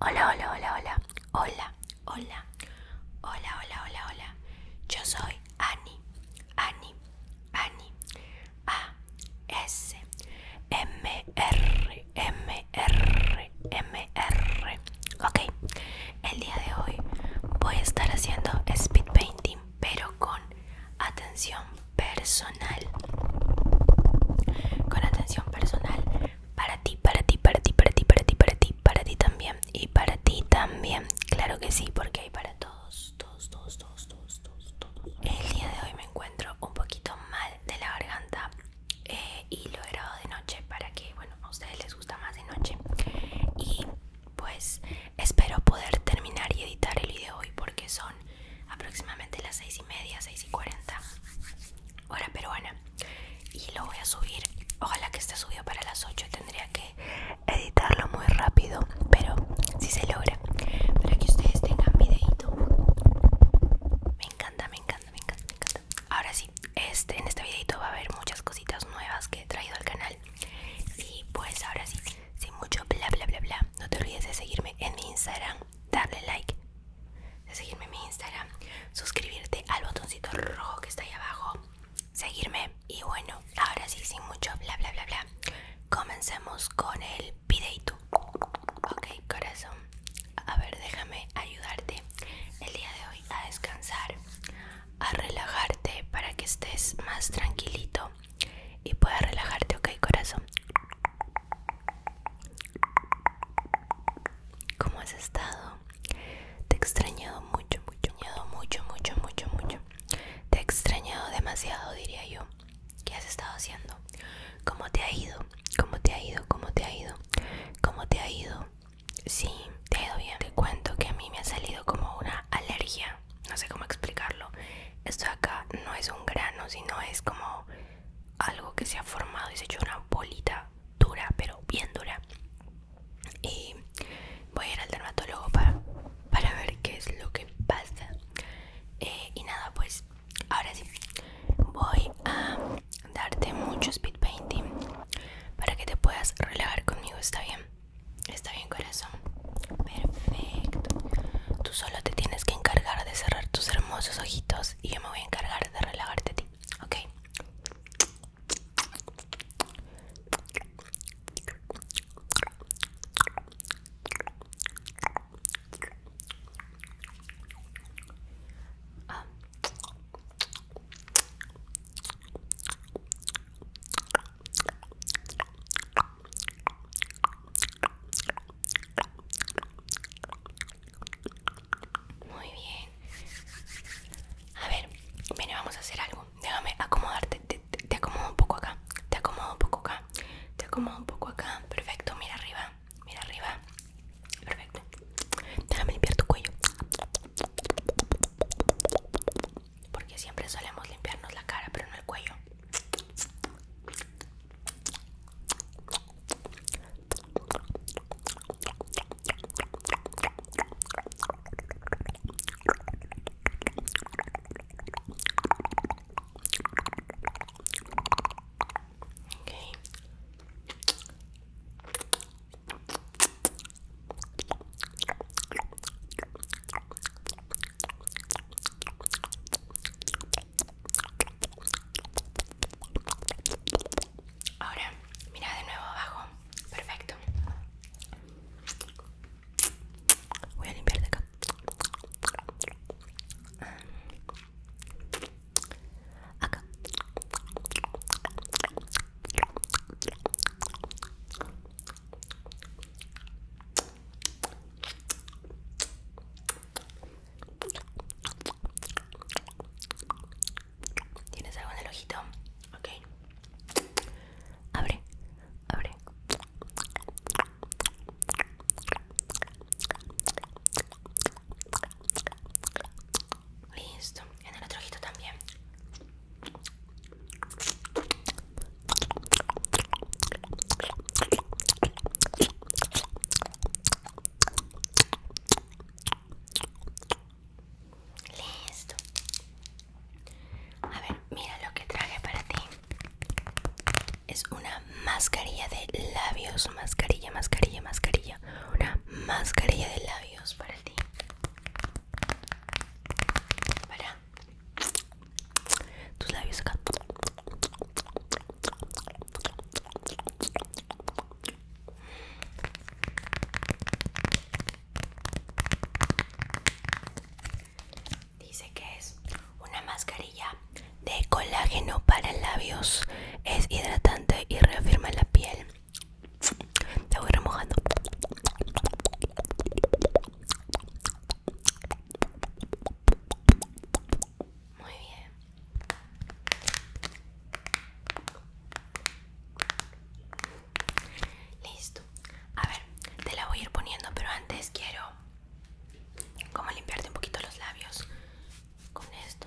Hola, hola, hola, hola, hola, hola, hola, hola, hola, hola. Yo soy Ani, Ani, Ani, A, S, M, R, M, R, M, R. Ok, el día de hoy voy a estar haciendo speed painting, pero con atención personal. Con atención personal para ti, para ti, para ti, para ti, para ti, para ti, para ti también y para ti también. Claro que sí, porque hay para todos, todos, todos, todos, todos, todos. El día de hoy me encuentro un poquito mal de la garganta eh, y lo he grabado de noche para que, bueno, a ustedes les gusta más de noche. Y pues Espero poder terminar y editar el video hoy porque son aproximadamente las 6 y media, 6 y 40 hora peruana. Y lo voy a subir. Ojalá que esté subido para las 8. Tendría que editarlo muy rápido, pero si se logra. Para que ustedes tengan videito. Me encanta, me encanta, me encanta, me encanta. Ahora sí, este, en este videito va a haber muchas cositas nuevas que he traído al canal. Y pues ahora sí sin mucho bla bla bla bla, no te olvides de seguirme en mi Instagram, darle like, de seguirme en mi Instagram, suscribirte al botoncito rojo que está ahí abajo, seguirme y bueno, ahora sí, sin mucho bla bla bla bla, comencemos con el videito. Ok, corazón, a ver, déjame ayudarte el día de hoy a descansar, a relajarte para que estés más tranquilito y puedes relajarte, ok corazón. ¿Cómo has estado? Te he extrañado mucho, mucho, mucho, mucho, mucho, mucho. Te he extrañado demasiado, diría yo. ¿Qué has estado haciendo? ¿Cómo te ha ido? ¿Cómo te ha ido? ¿Cómo te ha ido? ¿Cómo te ha ido? Sí, te ha ido bien. Te cuento que a mí me ha salido como una alergia no sé cómo explicarlo esto acá no es un grano sino es como algo que se ha formado y se ha hecho una bolita dura pero bien dura y voy a ir al dermatólogo para, ver qué es lo que pasa eh, y nada pues ahora sí voy a darte mucho speed painting para que te puedas relajar conmigo está bien Está bien, corazón. Perfecto. Tú solo te tienes que encargar de cerrar tus hermosos ojitos y yo me voy a encargar de relajarte a ti, ¿ok? Ah. Muy bien. A ver, ven, vamos a hacer algo. Déjame acomodarte. Te, acomodo un poco acá. Te acomodo un poco acá. Te acomodo un poco acá. Perfecto, mira arriba. Mira arriba. Perfecto. Déjame limpiar tu cuello porque siempre solemos limpiarnos la cara, pero no el cuello. Ahora, mira de nuevo abajo. Perfecto. Voy a limpiar de acá. Acá. ¿Tienes algo en el ojito? Ok. Abre, abre. Listo. En el otro ojito también. Listo. A ver, mira lo que traje para ti. Es una mascarilla de labios, mascarilla, mascarilla, mascarilla. Una mascarilla de labios para ti. Para tus labios acá. Dice que es una mascarilla de colágeno para labios. Es hidratante y reafirma la piel. Te voy remojando. Muy bien. Listo. A ver, te la voy a ir poniendo, pero antes quiero como limpiarte un poquito los labios con esto.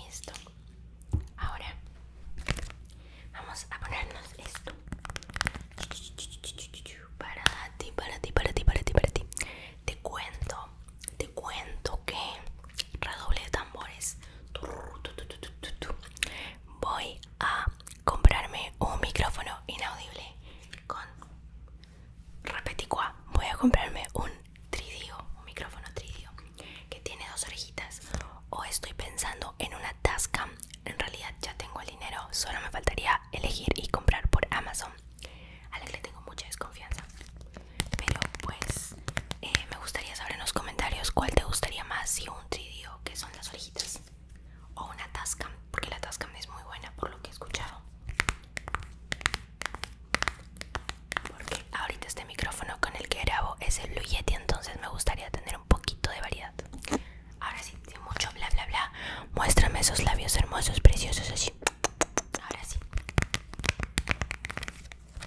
Listo. Ahora vamos a ponernos esto. Para ti, para ti, para ti, para ti, para ti. Te cuento, te cuento que redoble de tambores. Voy a comprarme un micrófono inaudible con Repeticua, voy a comprarme un tridio, un micrófono tridio que tiene dos orejitas. O estoy pensando en una tasca En realidad ya tengo el dinero, solo me faltaría elegir y comprar por Amazon, a la que le tengo mucha desconfianza. Pero pues eh, me gustaría saber en los comentarios cuál te gustaría más, si un tridio que son las orejitas o una Tascam, porque la Tascam es muy buena por lo que he escuchado. Porque ahorita este micrófono con el que grabo es el Blue entonces me gustaría tener un poquito de variedad. Ahora sí, mucho bla bla bla, muéstrame esos labios hermosos, preciosos, así. Ahora sí.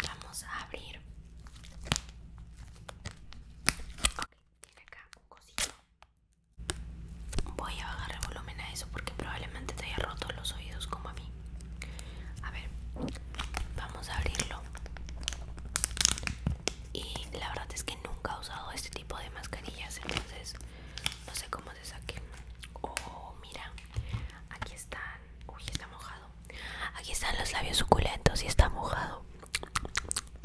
Vamos a abrir. tiene acá un cosito. Voy a bajar el volumen a eso porque probablemente te haya roto los oídos como a mí. A ver, vamos a abrirlo. Y la verdad es que nunca he usado este tipo de mascarillas, entonces no sé cómo se saquen Oh, mira, aquí están. Uy, está mojado. Aquí están los labios suculentos y está mojado.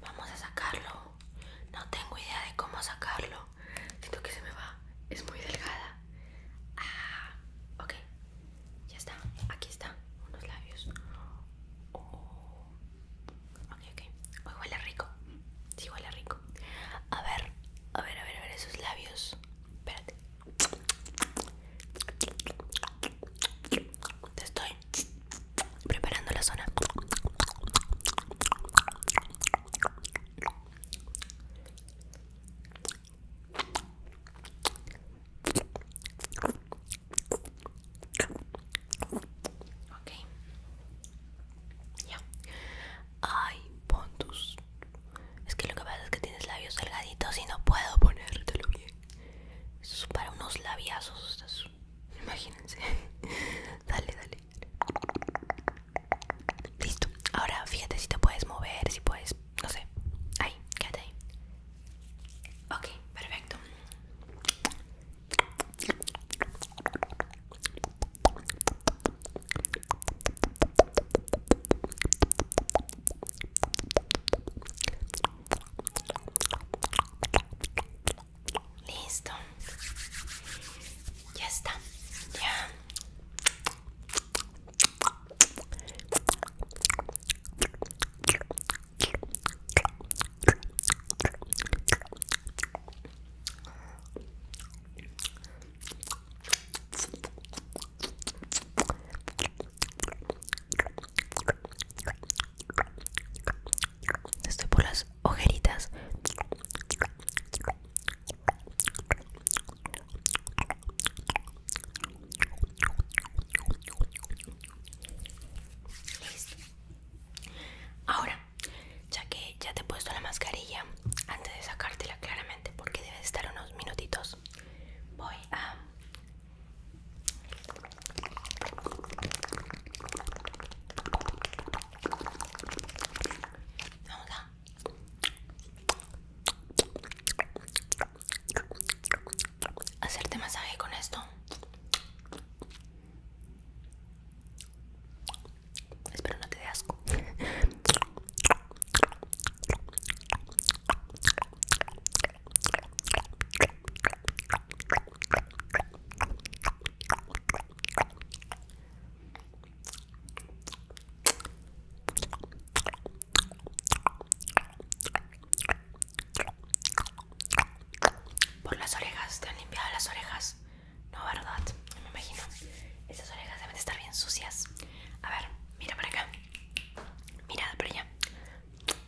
Vamos a sacarlo. No tengo idea de cómo sacarlo. Siento que se me va. Es muy delgada. Ah, ok. Ya está. Aquí está. Unos labios. Oh. Ok, huele rico. Sí, huele rico. A ver, a ver, a ver, a ver esos labios. Espérate. Te estoy preparando la zona. Ok, ya. Ay, Pontus. Es que lo que pasa es que tienes labios delgaditos y no puedo ponértelo bien. Esto es para unos labiazos. Imagínense. dale, dale. Listo. Ahora fíjate si te puedes mover, si puedes, no sé. Ahí, quédate ahí. Ok, perfecto. Listo. Ya está. Ya. Estoy por las ojeritas. Listo. Ahora, ya que ya te he puesto la mascarilla, antes de sacártela claramente, porque debe estar unos minutitos, voy a Vamos a. Hacerte masaje con esto. Espero no te dé asco. Por las orejas, te han limpiado las orejas. No, ¿verdad? me imagino. Esas orejas deben estar bien sucias. A ver, mira por acá. Mira por allá.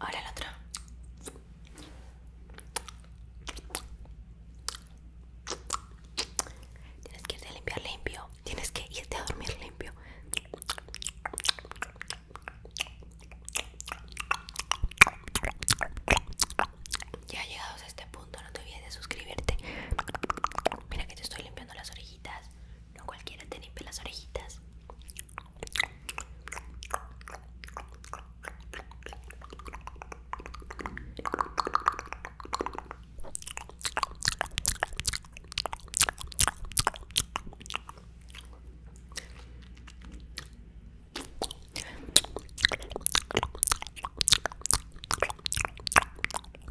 Ahora el otro. Tienes que irte a limpiar limpio. Tienes que irte a dormir limpio. Ya llegados a este punto, no te olvides de suscribirte. Mira que te estoy limpiando las orejitas. No cualquiera te pelas las orejitas.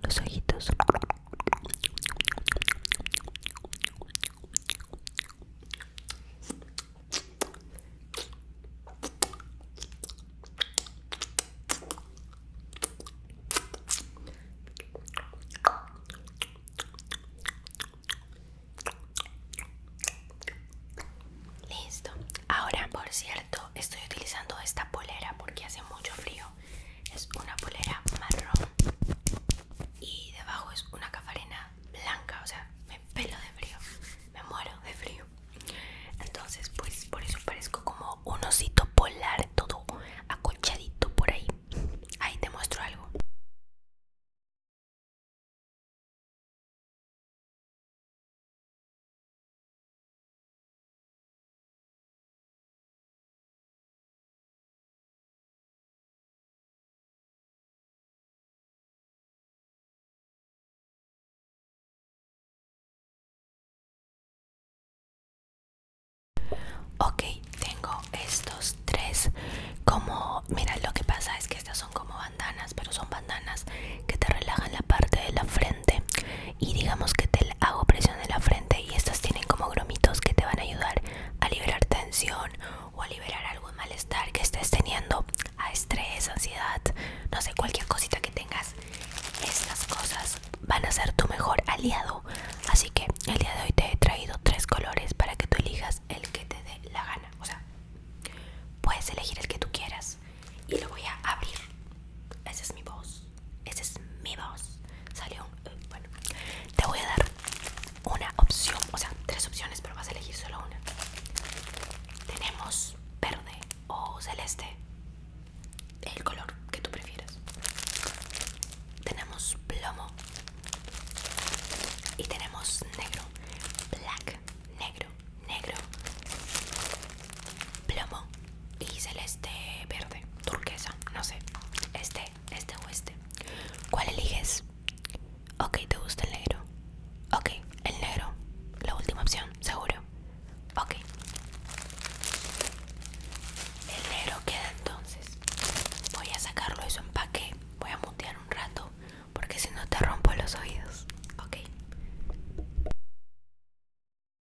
Los ojitos. Listo. Ahora, por cierto, estoy utilizando esta polera porque hace mucho frío es una polera marrón y debajo es una cafarena blanca o sea me pelo de frío me muero de frío entonces pues por eso parezco como un osito polar todo acochadito por ahí ahí te muestro algo Ok, tengo estos tres como, mira, lo que pasa es que estas son como bandanas, pero son bandanas que te relajan la parte de la frente y digamos que te hago presión en la frente y estas tienen como gromitos que te van a ayudar a liberar tensión o a liberar algún malestar que estés teniendo, a estrés, ansiedad, no sé, cualquier cosita que tengas. Estas cosas van a ser tu mejor aliado. Así que el día de hoy te he traído tres colores para que tú elijas el que te dé la gana. O sea, puedes elegir el que tú quieras y lo voy a abrir. Esa es mi voz. Ese es mi voz. Salió eh, Bueno, te voy a dar una opción, o sea, tres opciones, pero vas a elegir solo una. Tenemos verde o celeste. El color que tú prefieras. Tenemos plomo. Y tenemos negro. Black, negro, negro. Plomo, y celeste verde, turquesa, no sé, este, este o este. ¿Cuál eliges? Ok, te gusta el negro. Ok, el negro, la última opción, seguro. Ok. El negro queda entonces. Voy a sacarlo de su empaque. Voy a mutear un rato porque si no te rompo los oídos. Ok.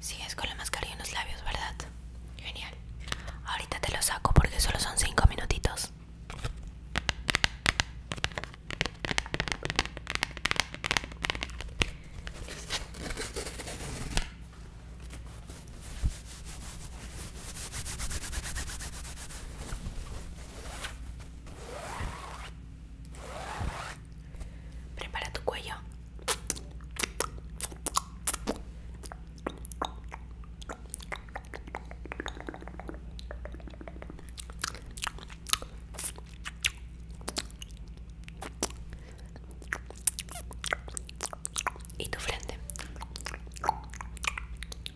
Sigues es con la mascarilla en los labios, ¿verdad? Genial. Ahorita te lo saco porque solo son cinco minutitos. Prepara tu cuello. Y tu frente.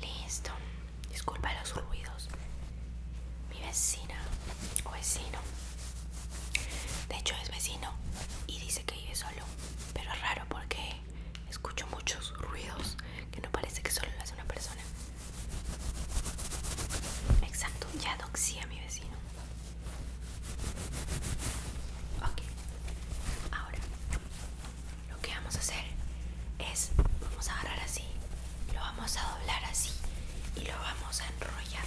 Listo. Disculpa los ruidos. Mi vecina o vecino. De hecho es vecino y dice que vive solo. Pero es raro porque escucho muchos ruidos que no parece que solo lo hace una persona. Exacto, ya doxía mi vecino. Ok, ahora lo que vamos a hacer es, vamos a agarrar así, lo vamos a doblar así y lo vamos a enrollar.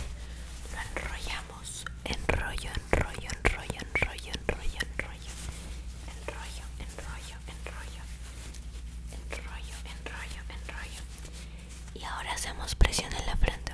Lo enrollamos, enrollo, enrollo, enrollo, enrollo, enrollo, enrollo, enrollo, enrollo, enrollo, enrollo, enrollo, enrollo. Y ahora hacemos presión en la frente,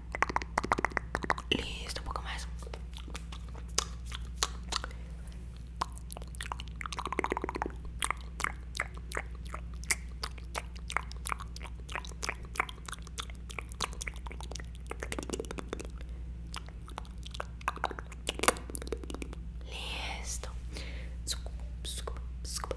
Listo, um pouco mais. Listo. Desculpa, desculpa, desculpa.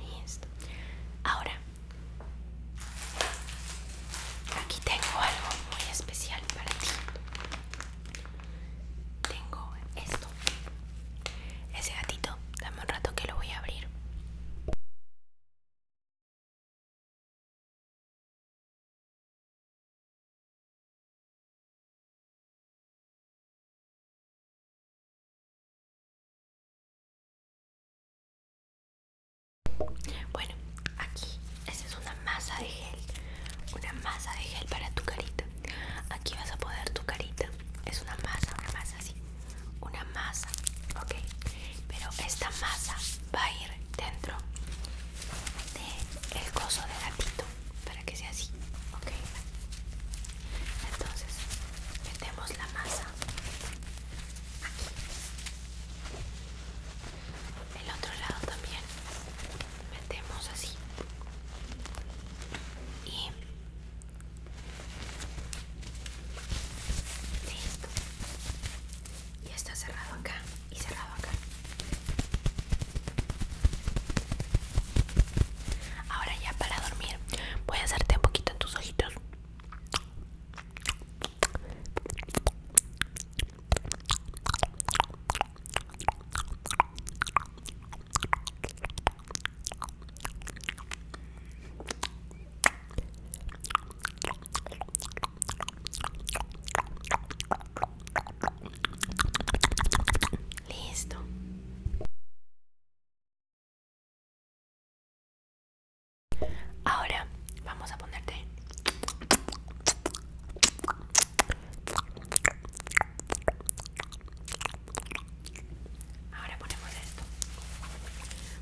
Listo. Ahora, aquí tengo algo muy especial para ti. Tengo esto. Ese gatito, dame un rato que lo voy a abrir. Bueno, aquí, esa es una masa de gel, una masa de gel para tu carita. Aquí vas a poder tu carita, es una masa, una masa así una masa, ok, pero esta masa va a ir dentro del el coso de gatito para que sea así, ok. Entonces metemos la masa aquí, el otro lado también metemos así y Listo. Y está cerrado acá y cerrado acá. Ahora ya para dormir voy a hacerte un poquito en tus ojitos. Listo. Ahora vamos a ponerte Ahora ponemos esto.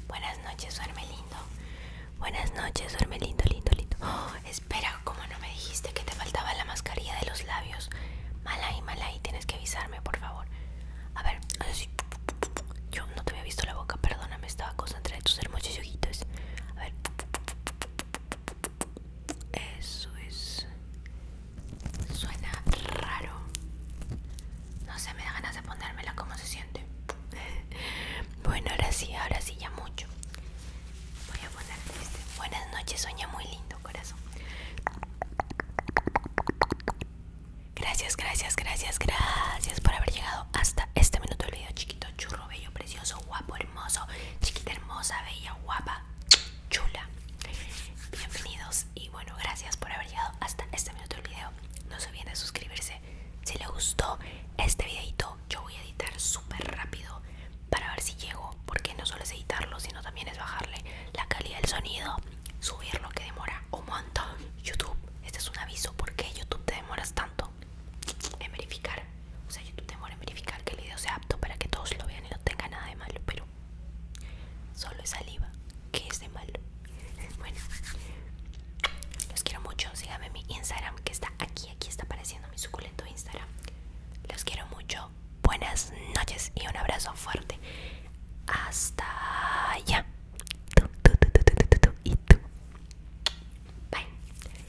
Buenas noches, duerme lindo. Buenas noches, duerme lindo, lindo, lindo. Oh, espera, como no me dijiste que te faltaba la mascarilla de los labios. Malay, malay, tienes que avisarme, por favor. A ver, Yo no te había visto la boca, perdóname, estaba concentrada en tus hermosos ojitos. A ver. Eso es. Suena raro. No sé, me da ganas de ponérmela como se siente. bueno, ahora sí, ahora sí, ya mucho. Voy a poner este. Buenas noches, sueña muy lindo, corazón. Gracias, gracias, gracias, gracias por haber llegado hasta este minuto del video, chiquito, churro, bello, precioso, guapo, hermoso, chiquita, hermosa, bella, guapa, chula. Bienvenidos y bueno, gracias por haber llegado hasta este minuto del video. No se olviden de suscribirse. Si le gustó este videito, yo voy a editar súper rápido para ver si llego, porque no solo es editarlo, sino también es bajarle la calidad del sonido, subirlo que demora un montón. YouTube, este es un aviso, Porque YouTube te demoras tanto en verificar? O sea, YouTube demora en verificar que el video sea apto para que todos lo vean y no tenga nada de malo, pero Solo es saliva, que es de malo. Bueno, los quiero mucho. Síganme en mi Instagram que está aquí. Aquí está apareciendo mi suculento Instagram. Los quiero mucho. Buenas noches y un abrazo fuerte. Hasta allá. Tú, tú, tú, tú, tú, tú, tú, y tú. Bye.